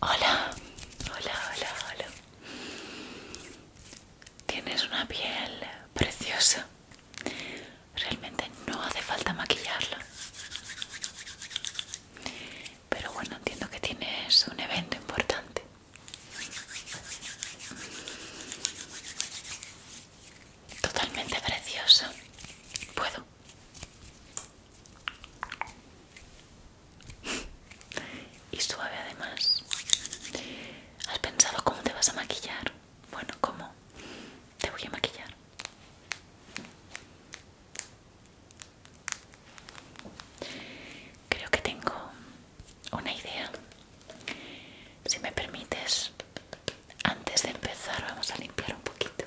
Hola, hola, hola, hola. Tienes una piel preciosa. Realmente no hace falta maquillarla. Pero bueno, entiendo que tienes un evento importante. Totalmente preciosa. ¿Puedo? y suave además. ¿Has pensado cómo te vas a maquillar? Bueno, ¿cómo? Te voy a maquillar. Creo que tengo una idea. Si me permites, antes de empezar vamos a limpiar un poquito.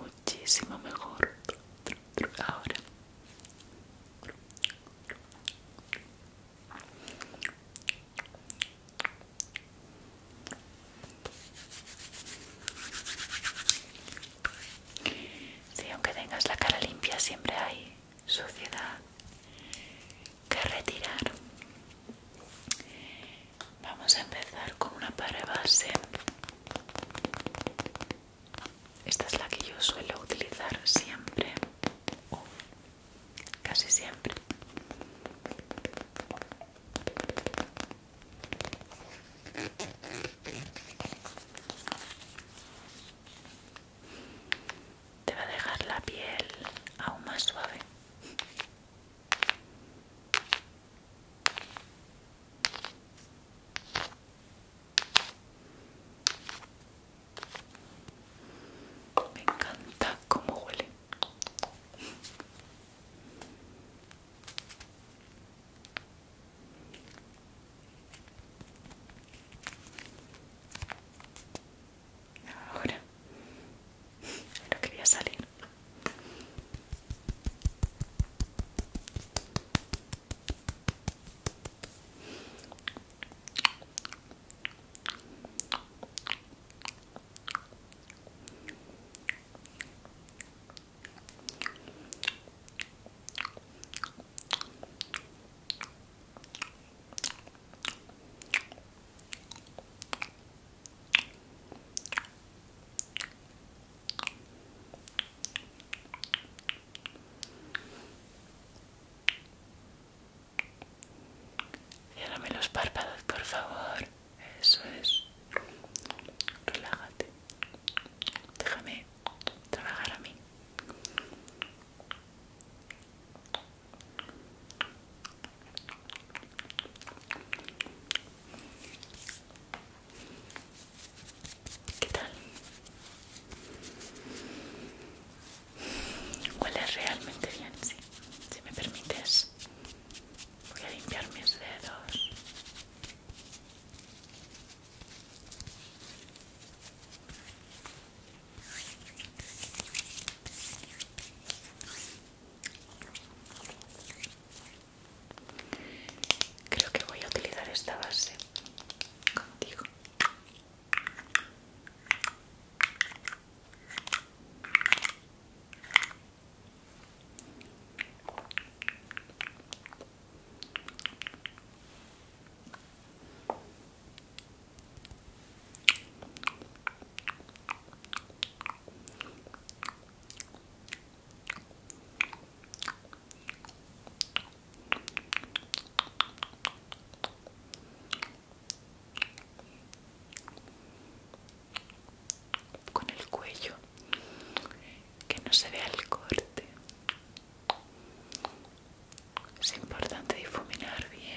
muchísimo mejor ahora si aunque tengas la cara limpia siempre hay suciedad que retirar Vamos a empezar con una para base. Esta es la que yo suelo utilizar siempre, casi siempre. Te va a dejar la piel aún más suave. Me encanta cómo huele. Ahora no quería salir. Ciérrame los párpados, por favor. Eso es. Relájate. Déjame trabajar a mí. ¿Qué tal? Huele realmente bien, sí. Si me permites, voy a limpiar mis dedos. Creo que voy a utilizar esta base contigo con el cuello que no se vea el corte es importante difuminar bien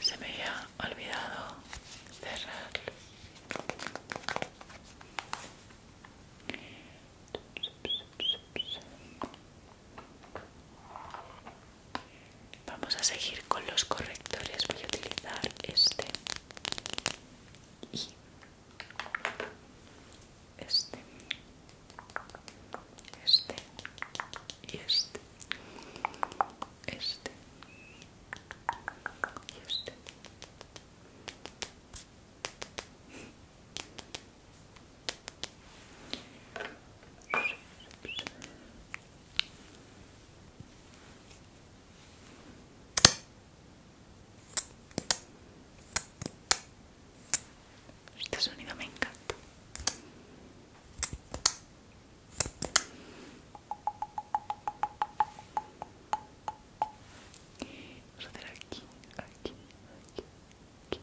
Se me había olvidado cerrar. Vamos a seguir con los correctores. Voy a utilizar este y este, este y este, este y este. Este sonido me encanta. Vamos a hacer aquí, aquí, aquí, aquí,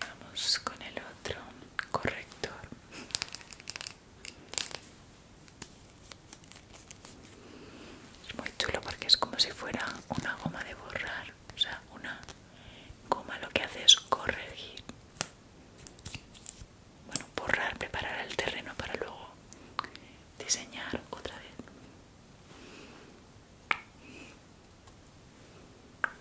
Vamos con el otro corrector. Es muy chulo porque es como si fuera una goma de borrar. O sea, una goma lo que hace es corregir. Bueno, borrar, preparar el terreno para luego diseñar otra vez.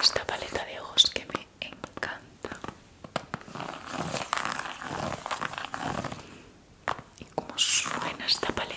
Esta paleta de ojos que me encanta. Y cómo suena esta paleta.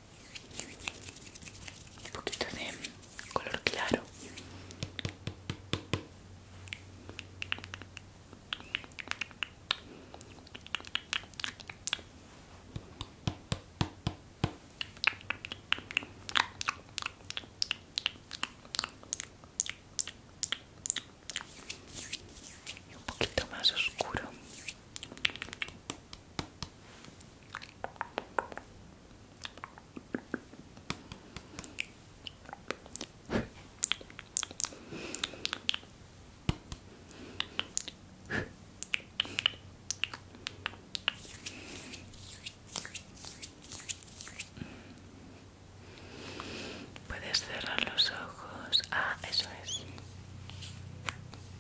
un poquito de color claro y un poquito más oscuro Puedes cerrar los ojos. Ah, eso es. Un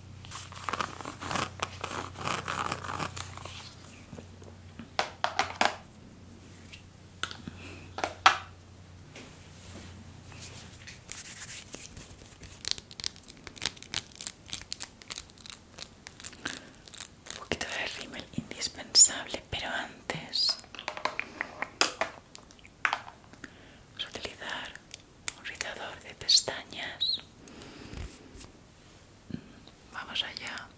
poquito de rímel indispensable, pero antes vamos a utilizar un rizador de pestañas Vamos allá.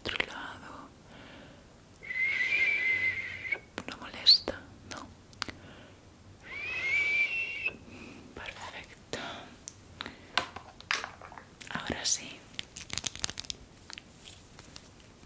Otro lado. No molesta, ¿no? Perfecto. Ahora sí.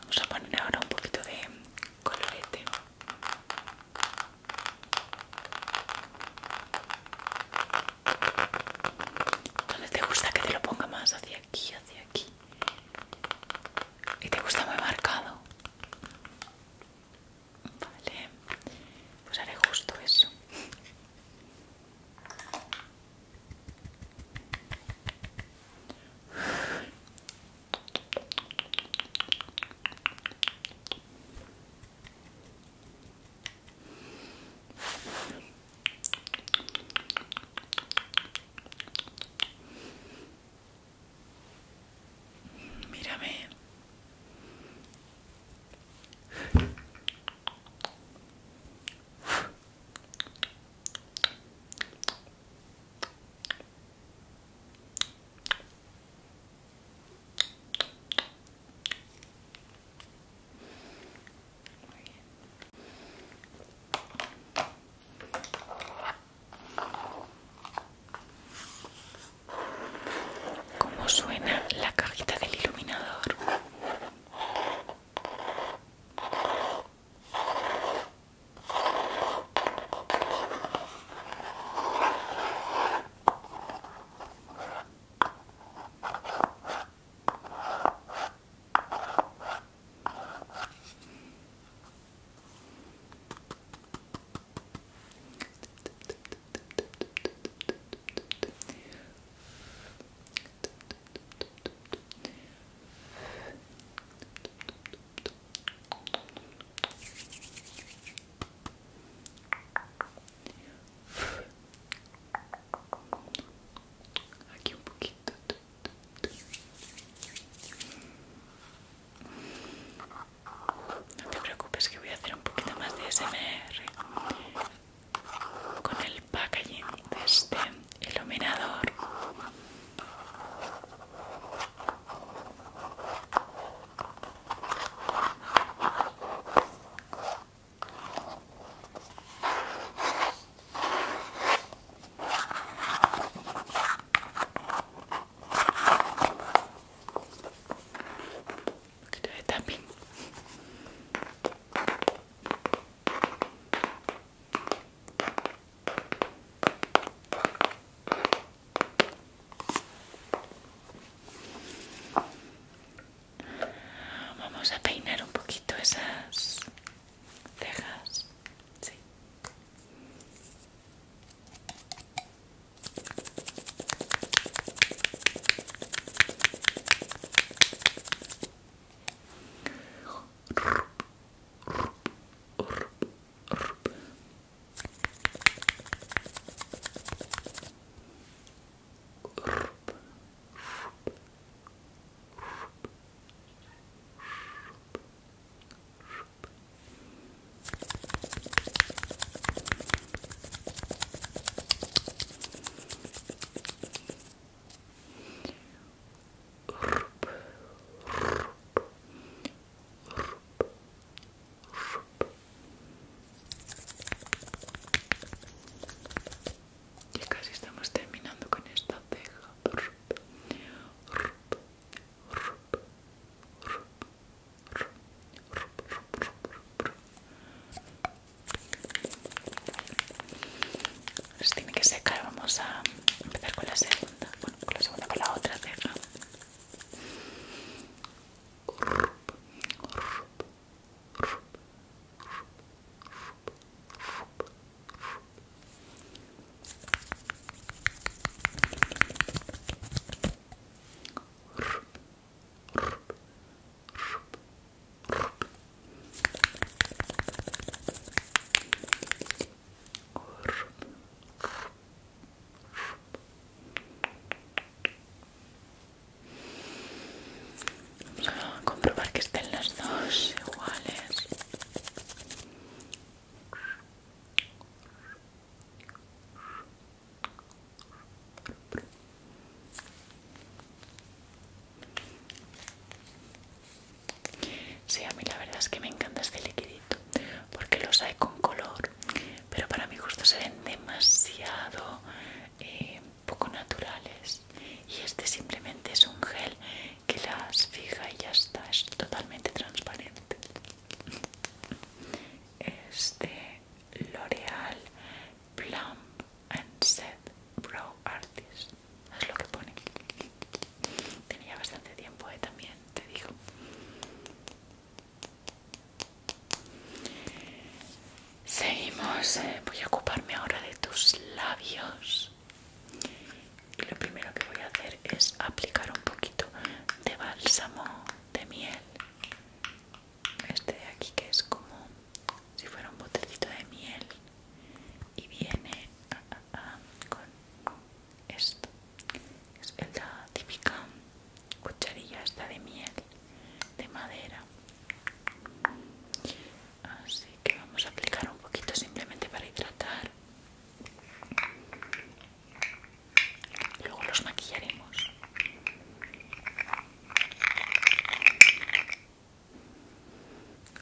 Vamos a poner ahora un poquito de colorete. ¿Dónde te gusta que te lo ponga más? Hacia aquí, hacia aquí. ¿Y te gusta muy marcado? Vale, pues haré justo eso. Mírame. ¿Cómo suena la cajita del iluminador? Aqui um pouquinho. Tá, tá. No te preocupes que voy a hacer un poquito más de SMR con el packaging de este iluminador. Vamos a peinar un poquito esas cejas, sí y casi estamos terminando con esta ceja. Se tiene que secar, vamos a empezar con la segunda, bueno, con la segunda, con la otra ceja a comprobar que estén las dos iguales. Sí, a mí la verdad es que me encanta este liquidito porque los hay con color, pero para mi gusto se ven demasiado eh, poco naturales y este simplemente es un gel que las fija y ya está, es totalmente transparente este L'Oreal Plump and Set Brow Artist es lo que pone tenía bastante tiempo ¿eh? también te digo Seguimos, eh, voy a ocuparme ahora de tus labios y lo primero que voy a hacer es aplicar un poquito de bálsamo de miel este de aquí que es como si fuera un botecito de miel y viene ah, ah, ah, con esto es la típica cucharilla esta de miel de madera así que vamos a aplicar un poquito simplemente para hidratar luego los maquillaremos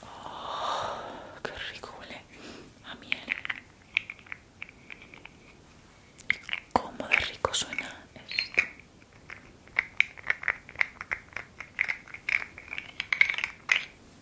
oh, qué rico huele a miel cómo de rico suena esto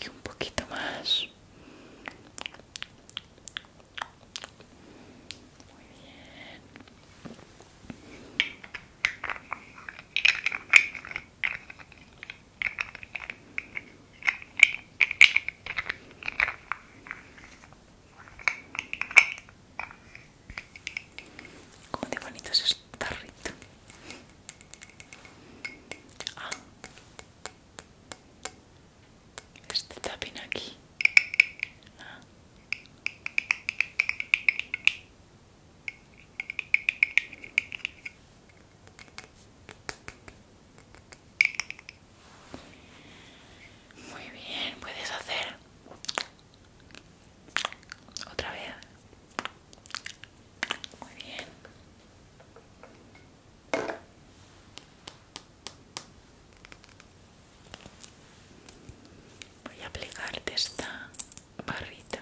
e um poquito mais muy Como de bonito es ah. este tarrito. Este tapín aquí. Ah. Muy bien, puedes hacer otra vez. Muy bien. Voy a aplicarte esta barrita.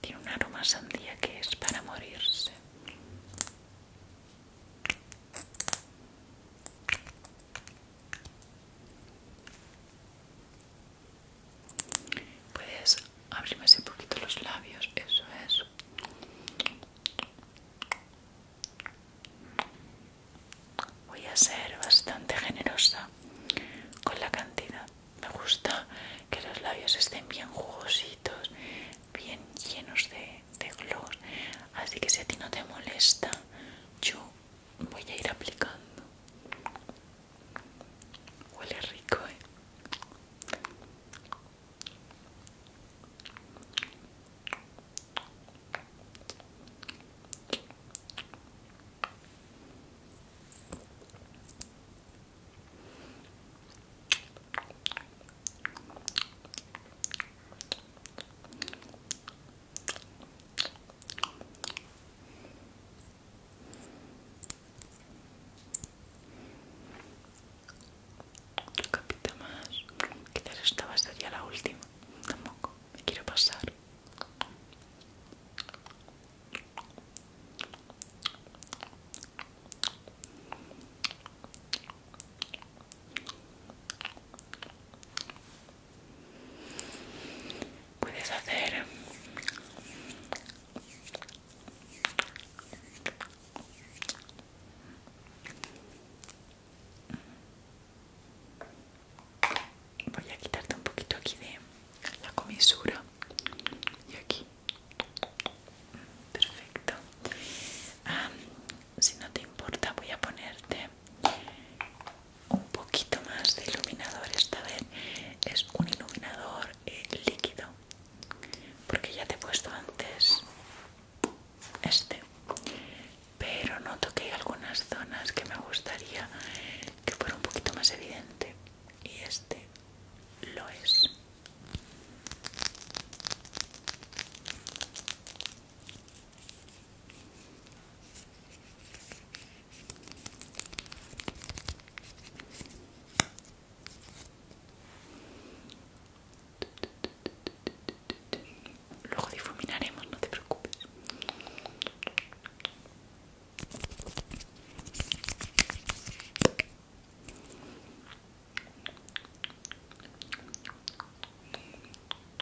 Tiene un aroma sandía que es para morirse. Puedes abrirme un poquito los labios, eso es. Voy a ser bastante generosa con la cantidad. Me gusta que los labios estén bien jugositos, bien llenos de, de gloss. Así que si a ti no te molesta, yo voy a ir aplicando huele rico ¿eh? capita más. Quizás esta va a ya la última. Tampoco. Me quiero pasar. Puedes hacer voy a quitarte un poquito aquí de la comisura y aquí perfecto ah, si no te importa voy a ponerte un poquito más de iluminador esta vez es un iluminador eh, líquido porque ya te he puesto antes este pero noto que hay algunas zonas que me gustaría que fuera un poquito más evidente y este lo es Luego difuminaremos, no te preocupes.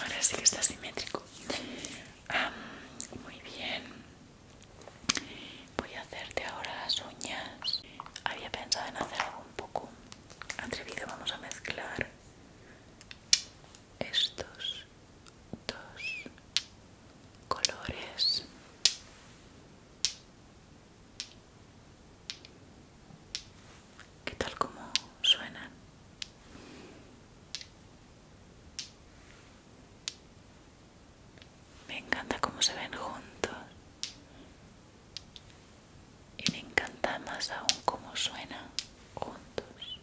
Ahora sí que está simétrico. muy bien. Voy a hacerte ahora las uñas. Había pensado en hacer algo un poco atrevido. Vamos a mezclar estos dos colores. ¿Qué tal como suenan? Me encanta cómo se ven juntos. Y me encanta más aún cómo suenan juntos.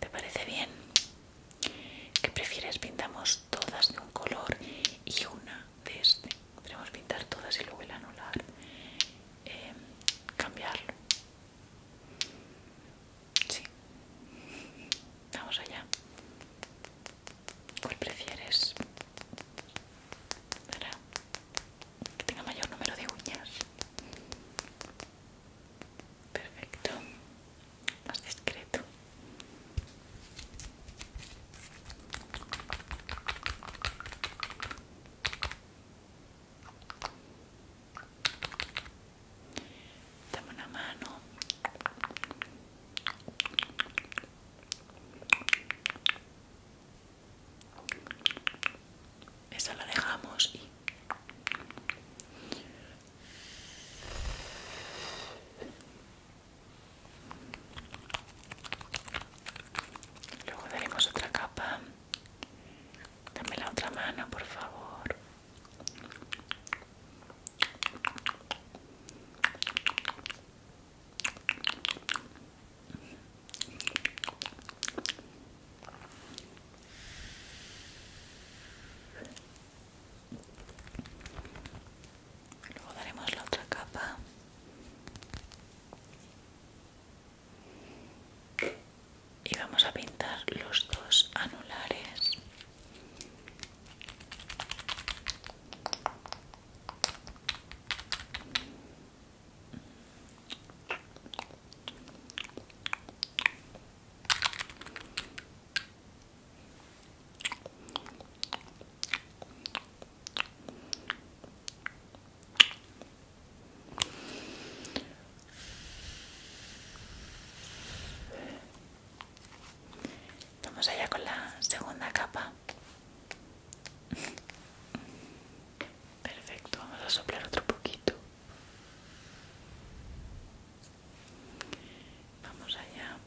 ¿Te parece bien? ¿Qué prefieres? Pintamos todas de un color y una de este podríamos pintar todas y luego el anular eh, cambiarlo sí vamos allá cuál prefieres para que tenga mayor número de uñas perfecto más discreto Dame una mano. Esa la dejamos y... Luego daremos otra capa. Dame la otra mano, por favor. Luego daremos la otra capa y vamos a pintar los dos anulares Vamos allá con la segunda capa. Perfecto, vamos a soplar otro poquito. Vamos allá.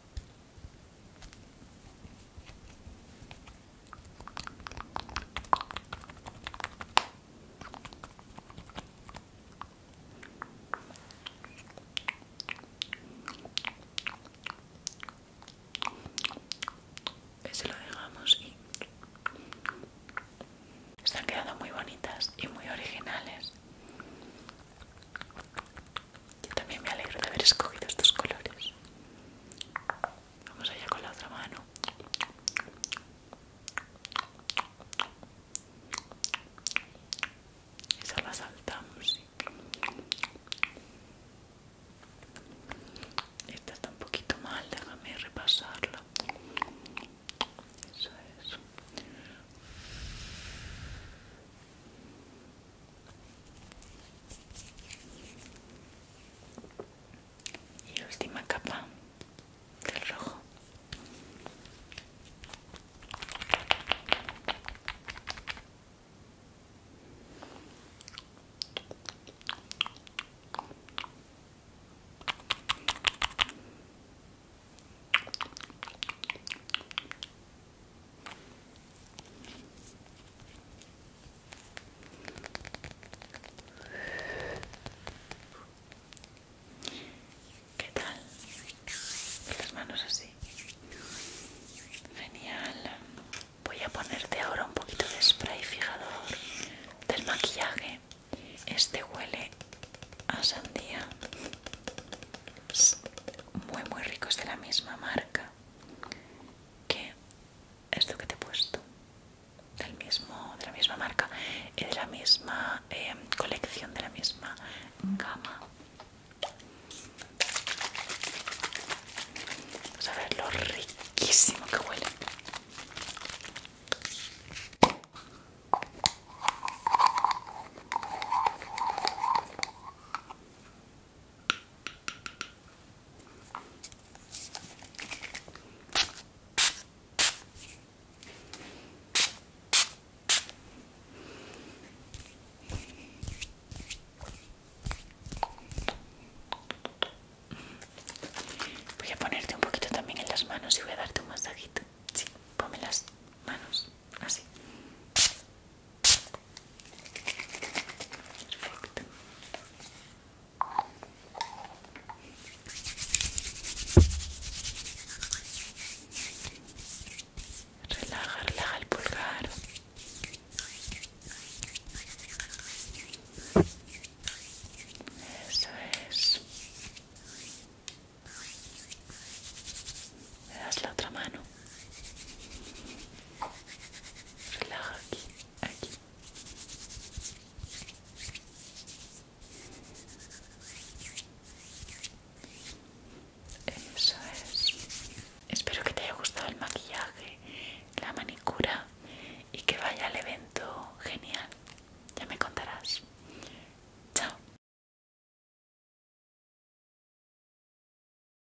Ese lo dejamos y están quedando muy bonitas y muy originales. Yo también me alegro de haber escogido estos colores. Vamos allá con la otra mano. Esa la saltamos. Esta está un poquito mal, déjame repasarla. Eso es y la última capa del rojo ¿Qué tal? Las manos así. Genial. Voy a ponerte ahora un poquito de spray fijador del maquillaje. Este huele a sandía. Muy muy rico, es de la misma marca que esto que te he puesto mismo, de la misma marca y de la misma eh, colección, de la misma gama. Vamos a ver lo riquísimo que huele. Voy a ponerte un poquito también en las manos y voy a darte un masajito. Sí, ponme las manos así. Relaja, relaja el pulgar. Eso es. Me das la otra mano. Relaja aquí, aquí. Eso es. Espero que te haya gustado el maquillaje, la manicura y que vaya al evento genial. Ya me contarás. Chao.